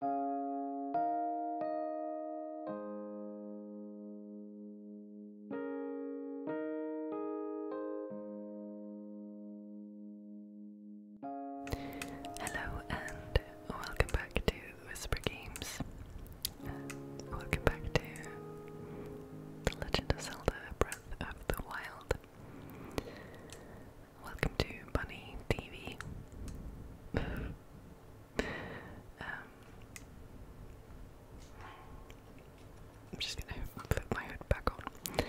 Hello and welcome back to Whisper Games. welcome back to The Legend of Zelda Breath of the Wild. Welcome to Bunny TV. Um, I'm just gonna put my hood back on.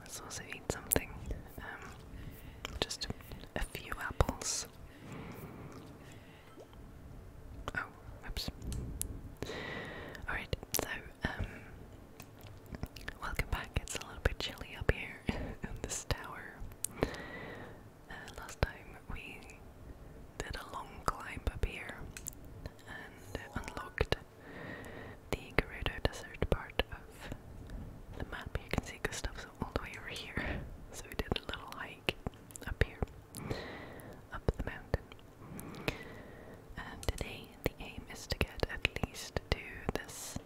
Let's also eat something. Um, just a, few apples. Oh, oops. Alright, so, um, welcome back. It's a little bit chilly up here there in this tower. Uh, last time we did a long climb up here and unlocked the Gerudo Desert part of the map. You can all the way over here, so we did a little hike up here, up the mountain. And today the aim is to get at least to this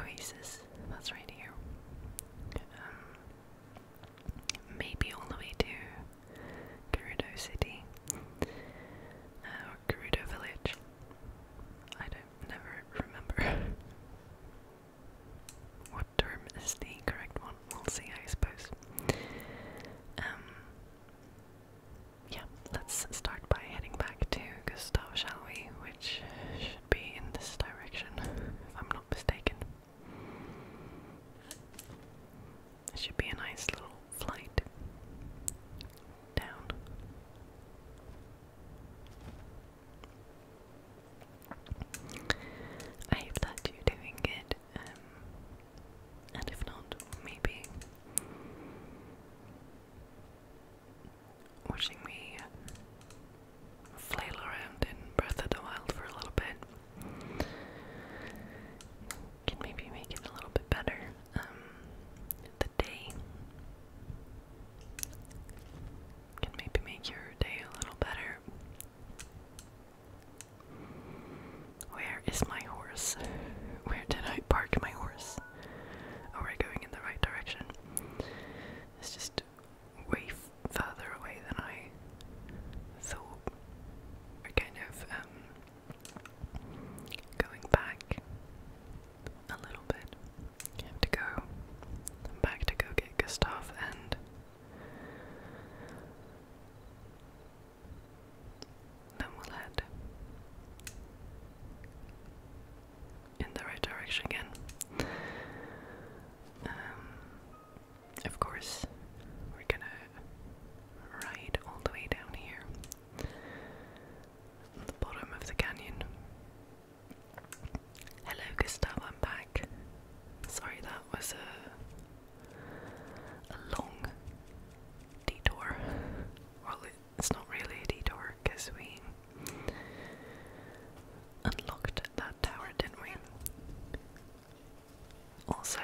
oasis that's right here. Um, maybe all the way to Gerudo City uh, or Gerudo Village. I don't never remember. what term is the correct one? We'll see, I suppose. Um, yeah, let's start by heading back to Gustav, shall we? Which should be in this direction, if I'm not mistaken. It should be a nice little flight down. I hope that you're doing good, um, and if not, maybe watching me flail around in Breath of the Wild for a little bit can maybe make it a little bit better. Um, the day can maybe make your day a little better. Where is my horse? Where did I park my horse? Oh, we going in the right direction. It's just way further away than I thought. We're kind of um, going back a little bit. to go back to go get Gustav and then we'll head in the right direction again. Um, of course, we're gonna ride all the way down here, at the bottom of the canyon. Hello, Gustav, I'm back. Sorry, that was a, long detour. Well, it it's not really a door because we unlocked that tower, didn't we? Also,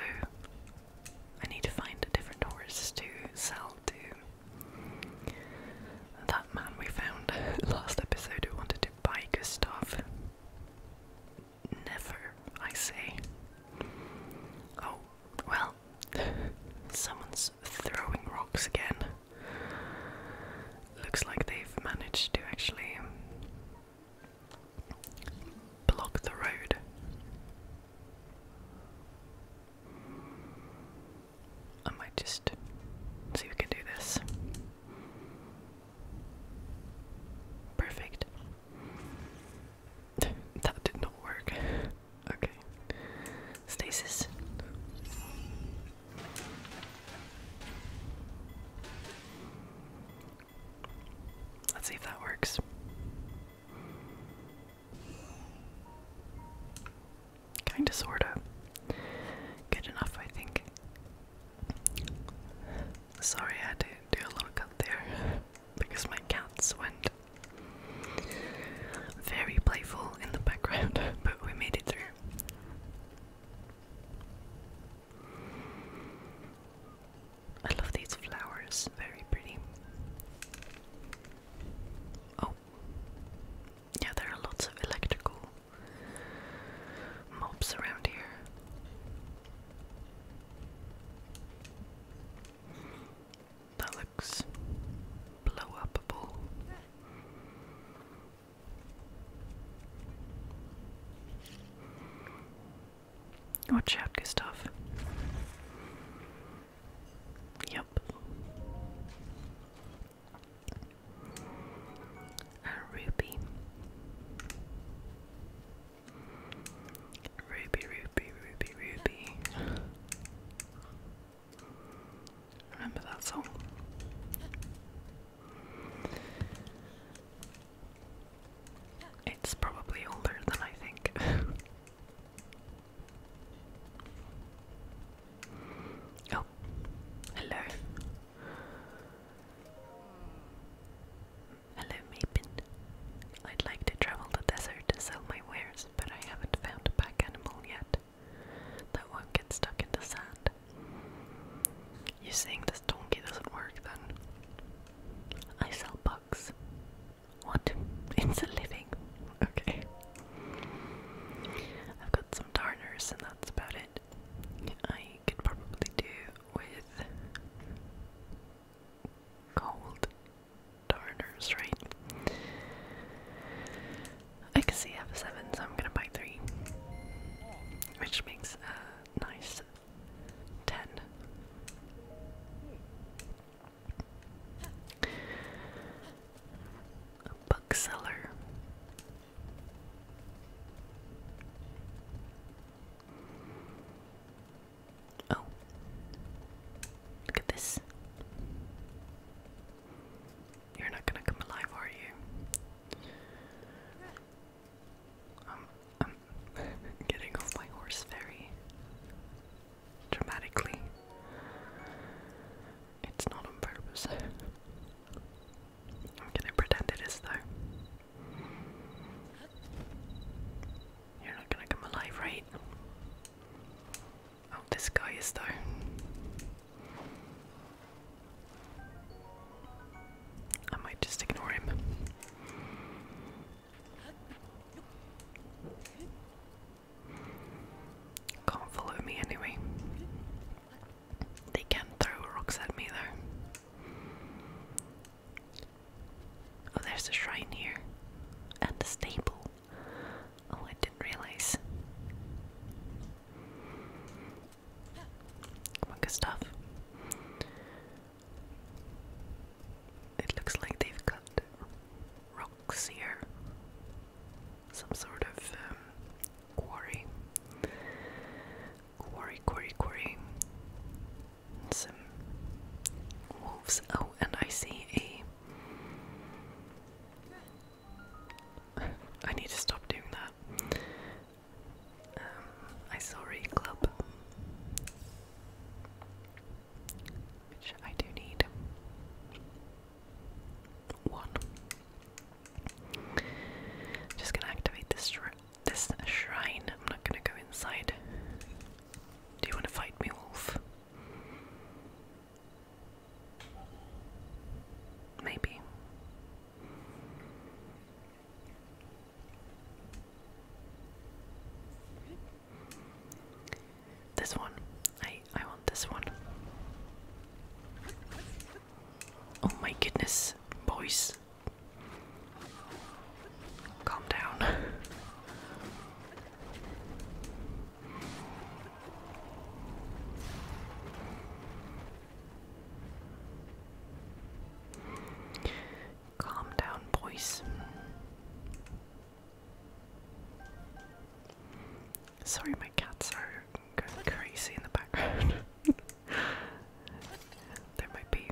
I need to find a different horse to sell to that man we found last episode who wanted to buy Gustav. Never, I say. Oh, well, someone's throwing rocks again looks like they've managed to actually block the road. I might just see if we can do this. Perfect. that did not work. Okay. Stasis. Let's see if that works. Kinda, sorta. Good enough, I think. Sorry, I had to do a little cut there because my cats went very playful in the background, but we made it through. I love these flowers, very pretty. Oh, yeah, there are lots of electrical mobs around here. That looks blow upable. Watch out, Gustav. Yep. ruby. Ruby, ruby, ruby, ruby. Remember that song? It's probably older than I think. oh, hello. Hello, Mapin. I'd like to travel the desert to sell my wares, but I haven't found a pack animal yet that won't get stuck in the sand. You're saying this donkey doesn't work then? I sell bugs. What? It's a living. Okay. I've got some darners and that's about it. I could probably do with gold darners, right? I can see I have a seven, so I'm gonna buy three. Which makes a nice ten. bookseller. Oh. Look at this. You're not gonna come alive, are you? I'm getting off my horse very dramatically. It's not on purpose. I'm gonna pretend it is though. You're not gonna come alive, right? Oh, this guy is there. I might just ignore him. Can't follow me anyway. They can throw rocks at me though. Oh, there's a shrine here. And a stable. Oh, I didn't realize. Come on, stuff. It looks like they've got rocks here. Some sort of um, quarry. Quarry, quarry, quarry. Some wolves. Oh, and I see a I need to stop doing that. Um, I saw a club, which I do need one. just gonna activate this shrine. I'm not gonna go inside. Do you want to fight me, wolf? Maybe. This one. I I want this one. Oh my goodness, boys. Calm down. Calm down, boys. Sorry, my cats are going crazy in the background. there might be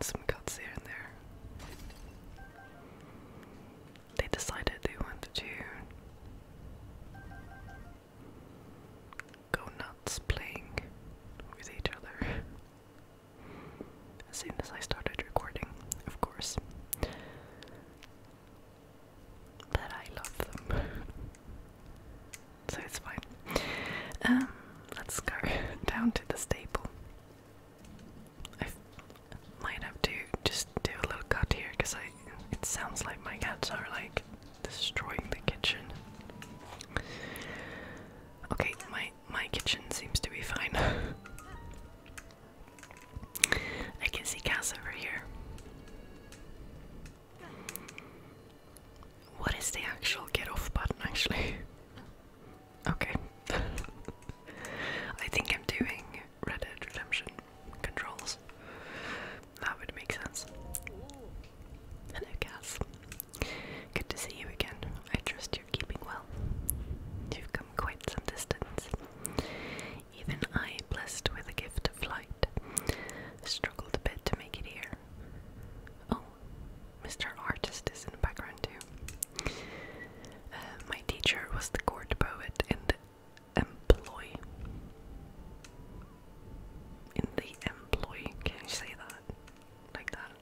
some cuts here and there. They decided they wanted to go nuts playing with each other. As soon as I started recording, of course. But I love them. so it's fine. Um, let's go down to the stable. I might have to just do a little cut here because I it sounds like my cats are like destroying the kitchen. Okay, my my kitchen seems to be fine. I can see cats over here. What is the actual get off button actually? Okay. I think I'm doing Red Dead Redemption controls that would make sense. Hello, Cass. Good to see you again. I trust you're keeping well. You've come quite some distance. Even I, blessed with a gift of flight, struggled a bit to make it here. Oh, Mr. Artist is in the background too. Uh, my teacher was the court poet in employ. In the employ, can you say that? Like that?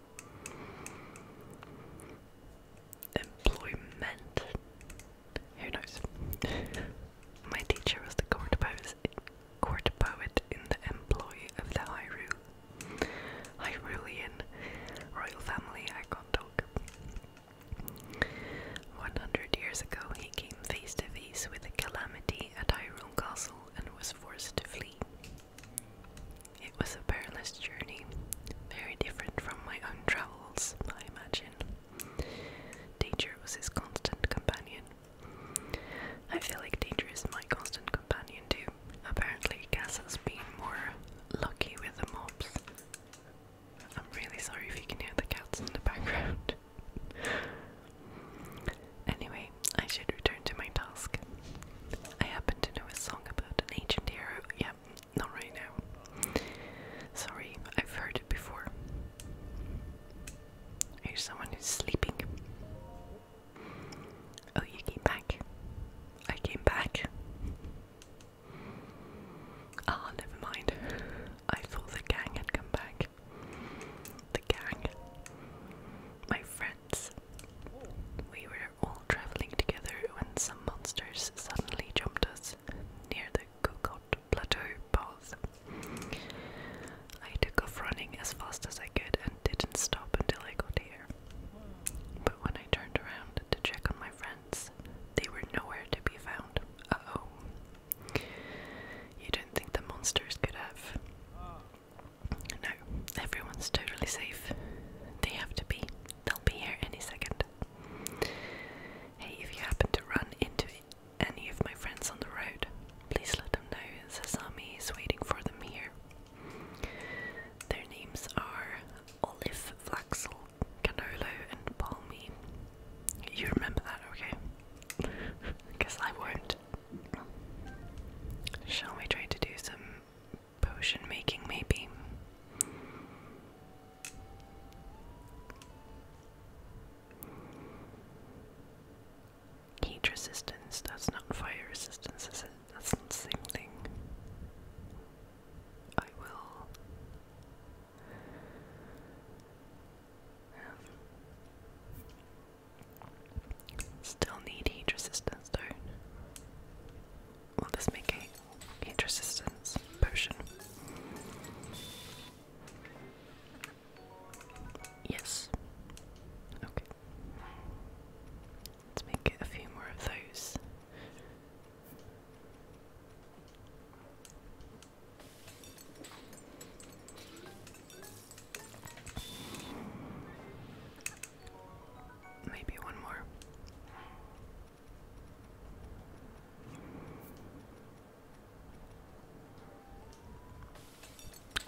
Employment. Who knows? My teacher was the court poet, court poet in the employ of the Hyrule. Hyrulean royal family. I can't talk. One hundred years ago, he came face to face with a calamity at Tyrone Castle and was forced to flee. It was a perilous journey, very different from my own travels, I imagine. Danger was his constant companion. I feel like Danger is my constant companion too. Apparently, Cass has been more lucky with the mobs. I'm really sorry if you can hear the cats in the background. anyway, I should return to my task. I happen to know a song about an ancient hero. Yeah, not right now. Sorry, I've heard it before. Here's someone who's sleeping? Oh, you came back. I came back. Ah, never mind. I thought the gang had come back the gang, my friends. We were all traveling together when some monsters suddenly jumped us near the Kukot Plateau path. I took off running as fast as I could and didn't stop until I got here. But when I turned around to check on my friends, they were nowhere to be found. Uh oh. You don't think the monsters could have? No, everyone's totally safe. They have to be. They'll be here any second. Hey, if you happen to run into any of my friends on the road, please let them know Sasami is waiting for them here. Their names are Olive, Flaxel, Canolo, and Palmy. You remember that, okay? Because I won't. Shall we try to do some potion making, maybe? Heat resistance, that's not fire resistance, is it? That's not the same thing. I will still need heat resistance though. Will this make heat resistance potion? Yes. Okay. Let's make a few more of those. Maybe one more.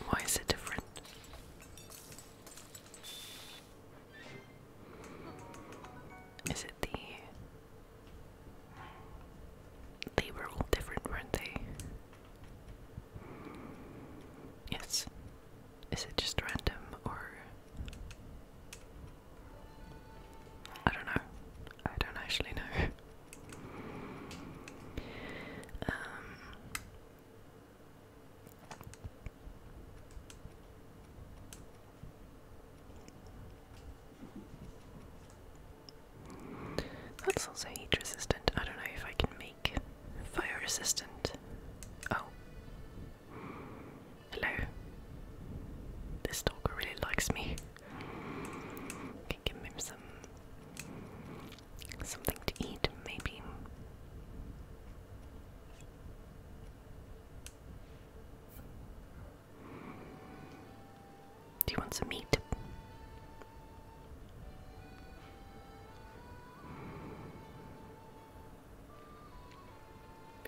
Why is it different? Is it the they were all different, weren't they? Yes. Is it just random or. I don't know. I don't actually know. Um, that's also heat resistant. I don't know if I can make fire resistant. Oh. Hello. This stalker really likes me. Can give him some something to eat, maybe. Do you want some meat?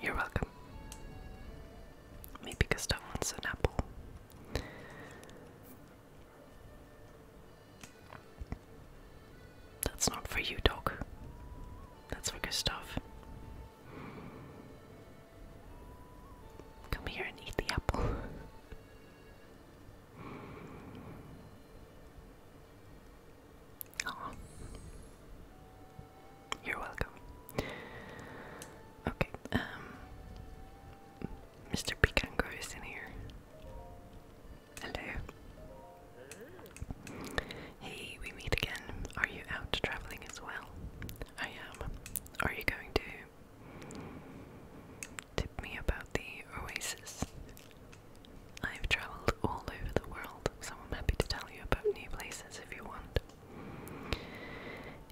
You're welcome. Maybe Gusta wants an apple. That's not for you, dog. That's for Gustav. Come here and eat the apple. You're welcome. Okay, um Mr. Picango is in here. Hello. Hey, we meet again. Are you out traveling as well? I am. Are you going to Tip me about the oasis. I've travelled all over the world, so I'm happy to tell you about new places if you want.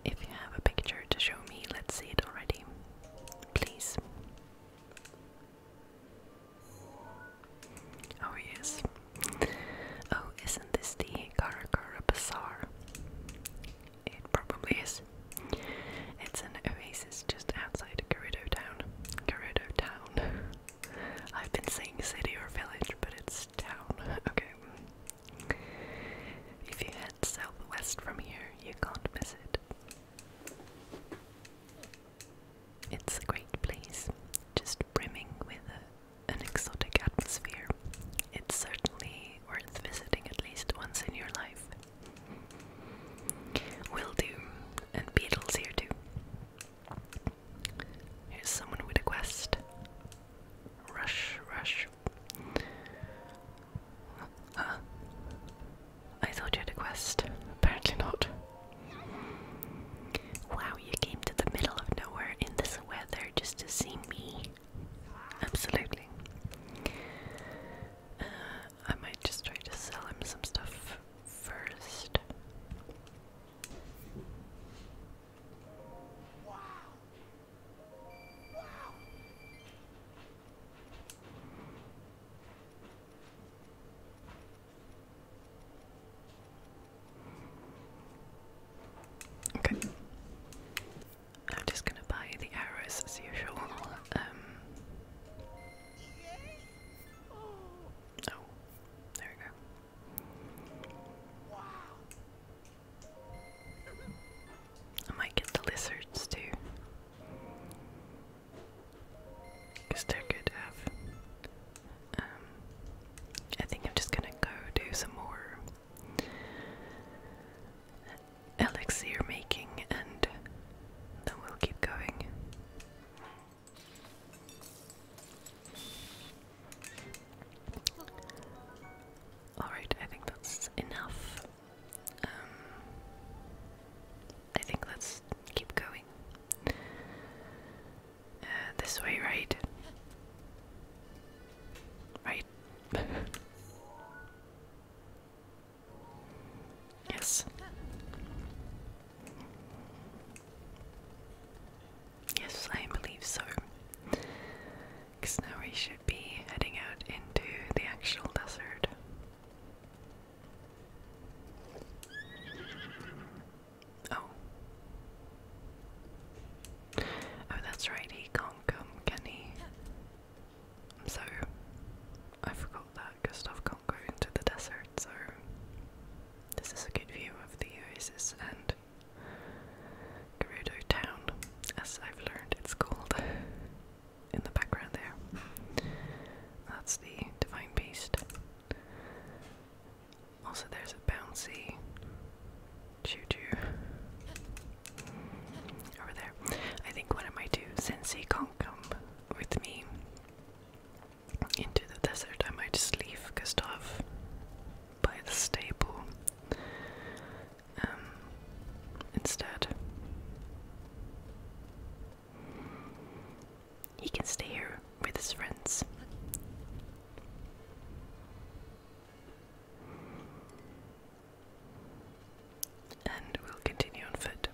If you have a picture to show me, let's see it already. Please. Oh, yes. Oh, isn't this the Karakara Bazaar? it probably is. It's an oasis just outside Gerudo Town. Gerudo Town. I've been saying city or village, but it's town. Okay. If you head southwest from here, you can't miss it. It's a great place, just brimming with an exotic atmosphere. It's certainly worth visiting at least once in your life. Will do, and Beatles here too. Here's someone with a quest. Rush, rush. Huh? I thought you had a quest. Apparently not. Wow, you came to the middle of nowhere in this weather just to see me. Absolutely. Uh, I might just try to sell him some stuff first. Okay. I'm just gonna buy the arrows as usual. Um, oh, there we go. I might get the lizards too. they're good Um, I think I'm just gonna go do some more elixir making, and then we'll keep going. Alright, I think that's enough. Um, I think let's keep going. Uh, this way, right? Right? Yes. Yes, I believe so. Because now we should be heading out into the actual desert. Oh. Oh, that's right, he can so, I forgot that Gustav can't go into the desert, so this is a good view of the oasis and Gerudo town, as I've learned it's called in the background there. That's the Divine Beast. Also, there's a bouncy Choo Over there. I think what I do, since he can't come with me into the desert, I might just leave Gustav by the stable um, instead. He can stay here with his friends. And we'll continue on foot.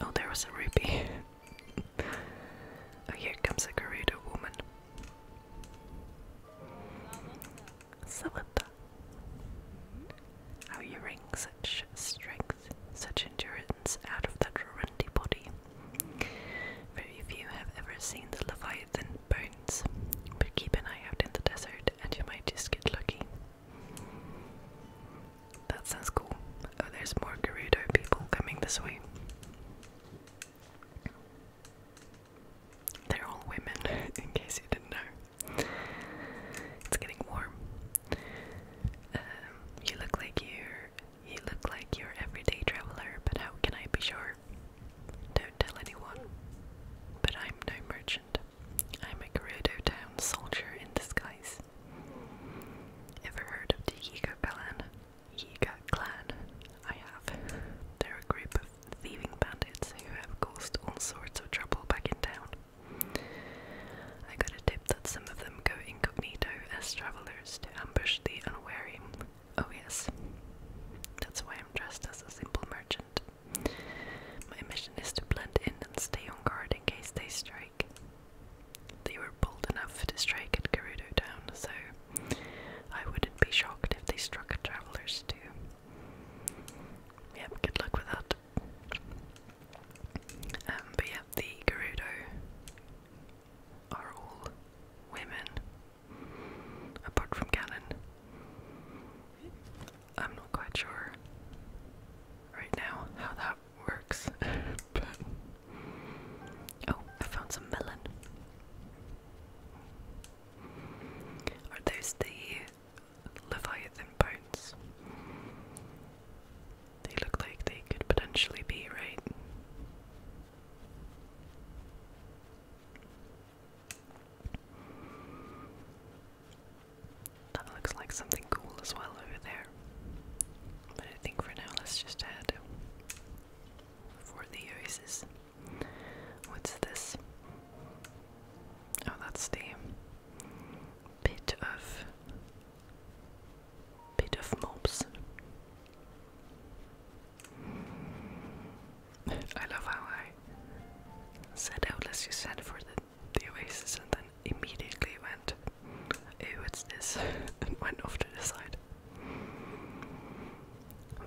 Oh, there was a rupee. oh, here comes a Gerudo woman. Savata. How you wring such strength, such endurance out of that Rundi body. Very few have ever seen the Leviathan scythe bones, but keep an eye out in the desert and you might just get lucky. That sounds cool. Oh, there's more Gerudo people coming this way. They're all women, in case you didn't know. It's getting warm. Um, you look like you're you look like your everyday traveler, but how can I be sure? Don't tell anyone. But I'm no merchant. I'm a Gerudo Town soldier in disguise. Ever heard of the Yiga clan? Yiga clan? I have. They're a group of thieving bandits who have caused all sorts of trouble back in town. I got a tip that some of them go incognito as travelers to ambush the unwary Oh, yes. That's why I'm dressed as a simple merchant. My mission is to blend in and stay on guard in case they strike. They were bold enough to strike at Gerudo Town, so I wouldn't be shocked if they struck at Travelers too. Yep, good luck with that. Um, but yeah, the Gerudo are all women Apart from Canon. I'm not quite sure right now how that works. oh, I found some melon. Are those the Leviathan bones? They look like they could potentially be, right? That looks like something cool as well over there. But I think for now let's just head for the oasis. What's this? Oh, that's the pit of pit of mobs. I love how I said, out, let's just send for the, the Oasis," and then immediately went, "Oh, it's this," and went off to the side.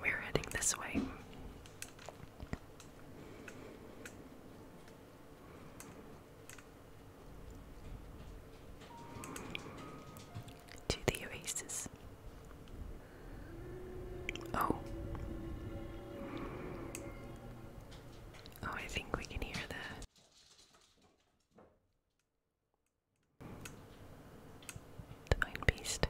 We're heading this way to the oasis. Oh. Oh, I think we can hear that. The Mind Beast.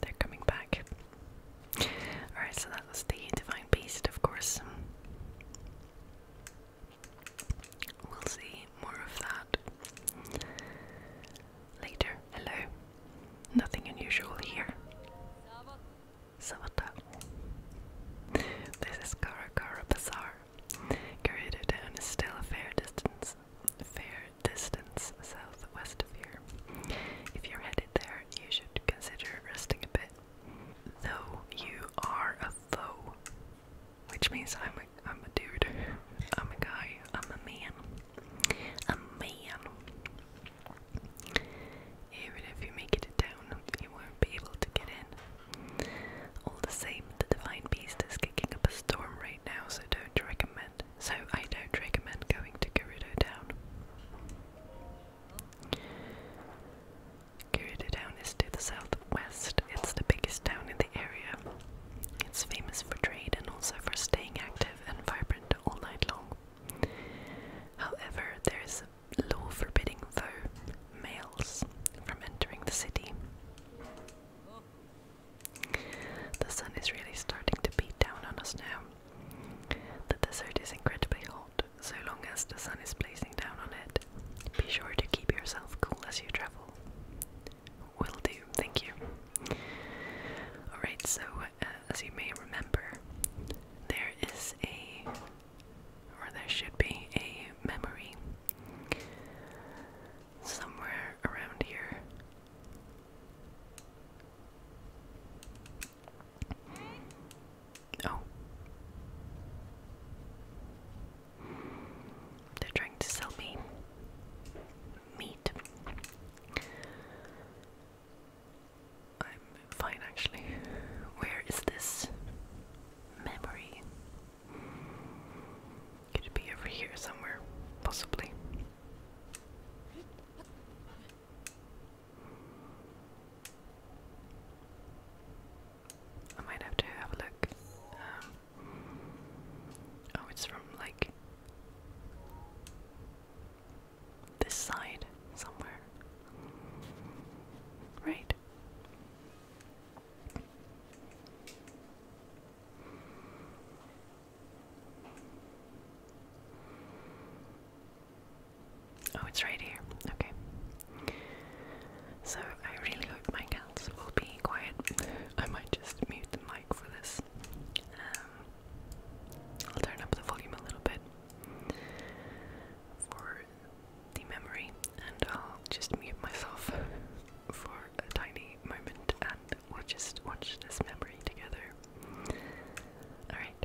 They're coming back. Alright, so that was the Divine Beast, of course. We'll see more of that later. Hello. Nothing unusual here. Savata. This is Karakara Bazaar. Gerudo Town is still a fair distance, fair distance southwest of here. If you're headed there, you should consider resting a bit though you are a foe, which means I'm a, I'm a dude, I'm a guy, I'm a man, a man. Even if you make it to town, you won't be able to get in. All the same, the divine beast is kicking up a storm right now, so don't recommend. So I don't recommend going to Gerudo Town. Kurita town is to the southwest. It's the biggest town in the area. It's famous for trade and also for staying active and vibrant all night long. However, there is a law forbidding though males from entering the city. The sun is really starting to beat down on us now. The desert is incredibly hot so long as the sun is blazing down on it. Be sure to keep yourself cool as you travel. Will do, thank you. Alright, so uh, as you may remember, there is a, or there should be a memory somewhere around here. Oh. They're trying to sell me meat. I'm fine actually. Where is this memory? Could be over here somewhere? Possibly. I might have to have a look. Um, oh, it's from like this side somewhere, right? Oh, it's right here. Okay. So I really hope my cats will be quiet. I might just mute the mic for this. Um, I'll turn up the volume a little bit for the memory, and I'll just mute myself for a tiny moment, and we'll just watch this memory together. Alright.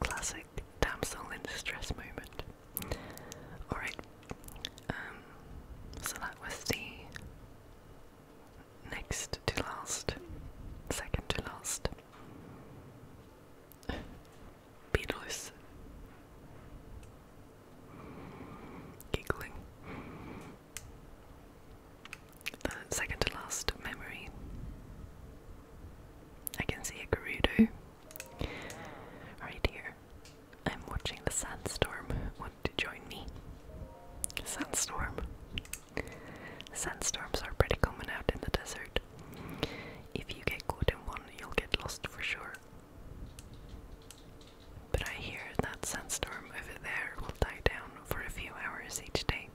Classic damsel in distress moment. Alright, um, so that was the next to last, second to last. Beatles. Giggling. The second to last memory. I can see a Gerudo right here. I'm watching the sandstorm. Want to join me? Sandstorm. Sandstorms are pretty common out in the desert. If you get caught in one, you'll get lost for sure. But I hear that sandstorm over there will die down for a few hours each day,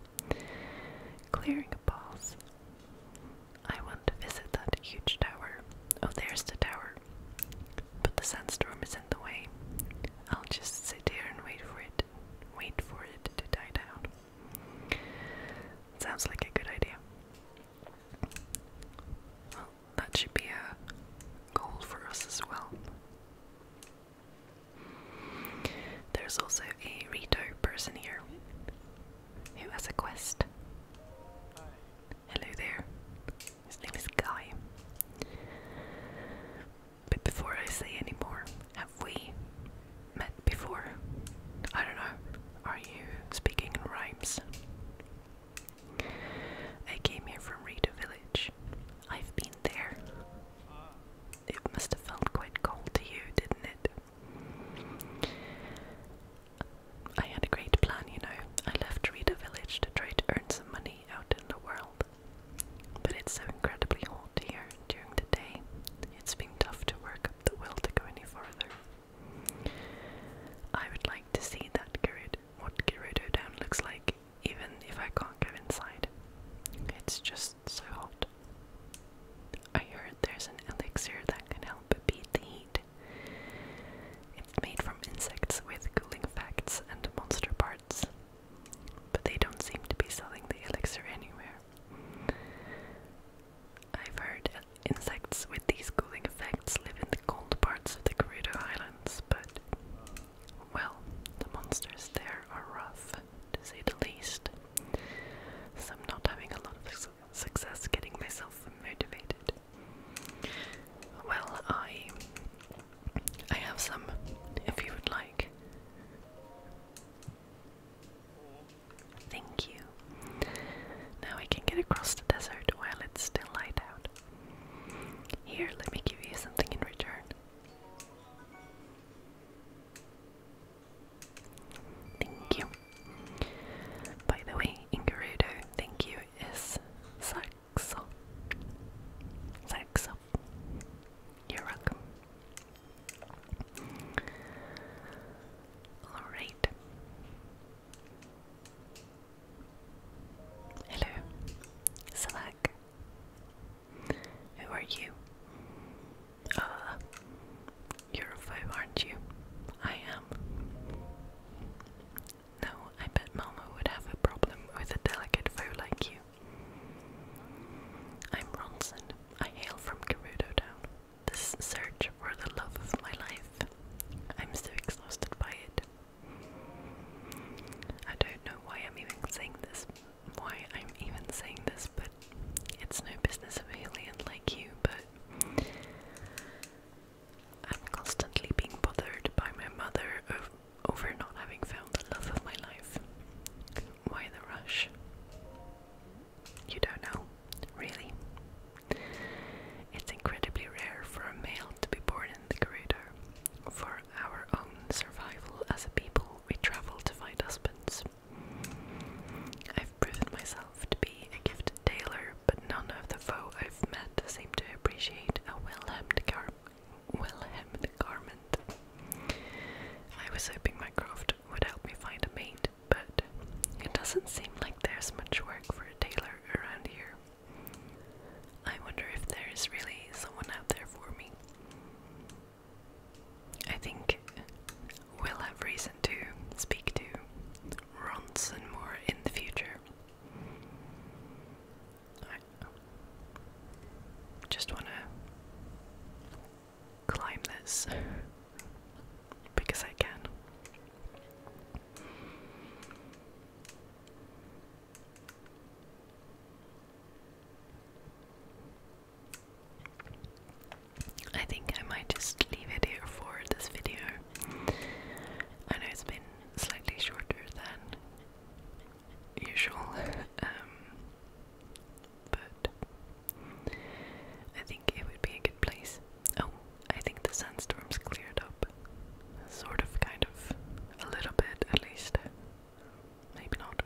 clearing a path. I want to visit that huge tower. Oh, there's the tower. But the sandstorm is in the way. I'll just sit here and wait for it wait for it to die down. Sounds like a good idea. Well, that should be a goal for us as well. There's also a Rito person here who has a quest. Hello there. His name is Guy. But before I say any more, have we met before? I don't know. Are you speaking in rhymes? I came here from Rita Village. I've been there. It must have felt quite cold to you, didn't it? I had a great plan, you know. I left Rita Village to try to earn some money out in the world. But it's so incredibly hot here during the day, it's been tough to work up the will to go any further. I would like to see that Gerudo, what Gerudo Down looks like, even if I can't go inside. It's just so hot. I heard there's an elixir that can help beat the heat. It's made from insects with cooling effects and monster parts. But they don't seem to be selling the elixir anywhere. I've heard insects with these cooling effects live in the cold parts of the Gerudo Islands, but, well, the monsters there are rough, to say the least. So I'm not having a lot of success getting myself motivated. Well, I, I have some, if you would like. Thank you. Now I can get across the desert while it's still light out. Here, let me give you something in return. Thank you. By the way, in thank you is saxo. Saxo. You're welcome. All right. Hello, Salak. Who are you? Uh, you're a foe, aren't you? I am. No, I bet Mama would have a problem with a delicate foe like you. I'm Ronson. I hail from Gerudo Town. This search for the love of my life. I'm so exhausted by it. I don't know why I'm even saying this. Why I'm even saying this, but it's no business of alien like you, but I'm constantly being bothered by my mother over not having found the love of my life. Why the rush? You don't know, really? It's incredibly rare for a male to be born in the corridor. For our own survival as a people, we travel to find husbands. I've proven myself to be a gifted tailor, but none of the foe I've met seem to appreciate a well hemmed well-hemmed garment. I was hoping my craft would help me find a mate, but it doesn't seem like there's much work for a tailor around here. I wonder if there is really someone out there for me. I think we'll have reason to speak to Ronson more in the future. just want to climb this because I can. I think I might just leave it here for this video. I know it's been slightly shorter than usual. Um, but I think it would be a good place. Oh, I think the sandstorm's cleared up. Sort of, kind of. A little bit, at least. Maybe not.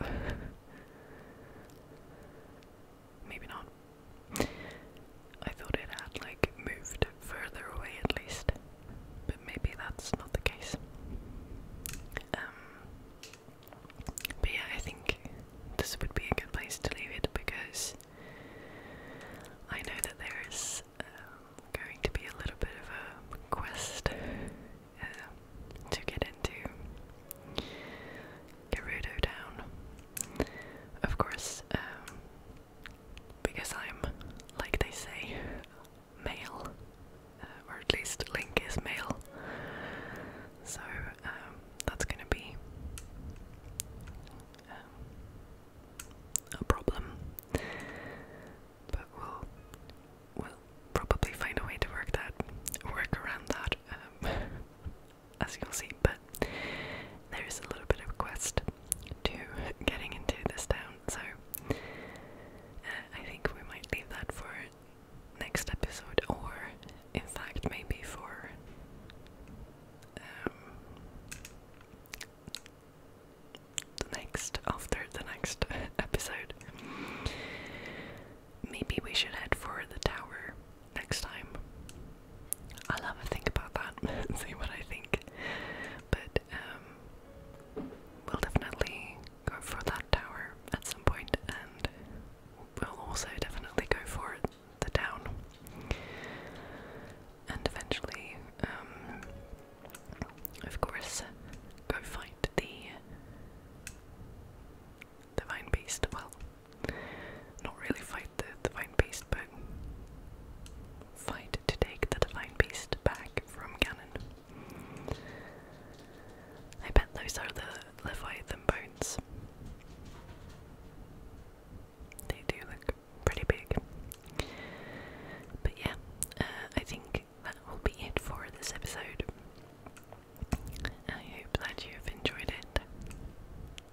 Maybe not. I thought it had, like, moved further away at least. But maybe that's not the case. Um, but yeah, I think this would be a good place to leave it because I know that there is um, going to be a little bit of a quest um, to get into Gerudo Town. Of course, um, because I'm, like they say, male, uh, or at least Link is male. So um, that's going to be um, a problem. But we'll we'll probably find a way to work that work around that, um, as you'll see. But there is a little bit of a quest to getting into this town, so uh, I think we might leave that for next episode, or in fact, maybe for um, the next, after the next episode. Maybe we should head for the tower next time. I'll have a think about that and see what I think. But um, we'll definitely go for that tower at some point, and we'll also definitely go for the town. And eventually, um, of course, go fight the divine beast. Well, not really fight the divine beast, but fight to take the divine beast back from Ganon. I bet those are the Leviathan bones. They do look pretty big. But yeah, uh, I think that will be it for this episode. I hope that you have enjoyed it.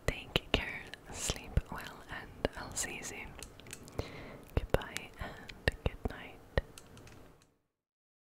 Take care, sleep well, and I'll see you soon. Goodbye and good night.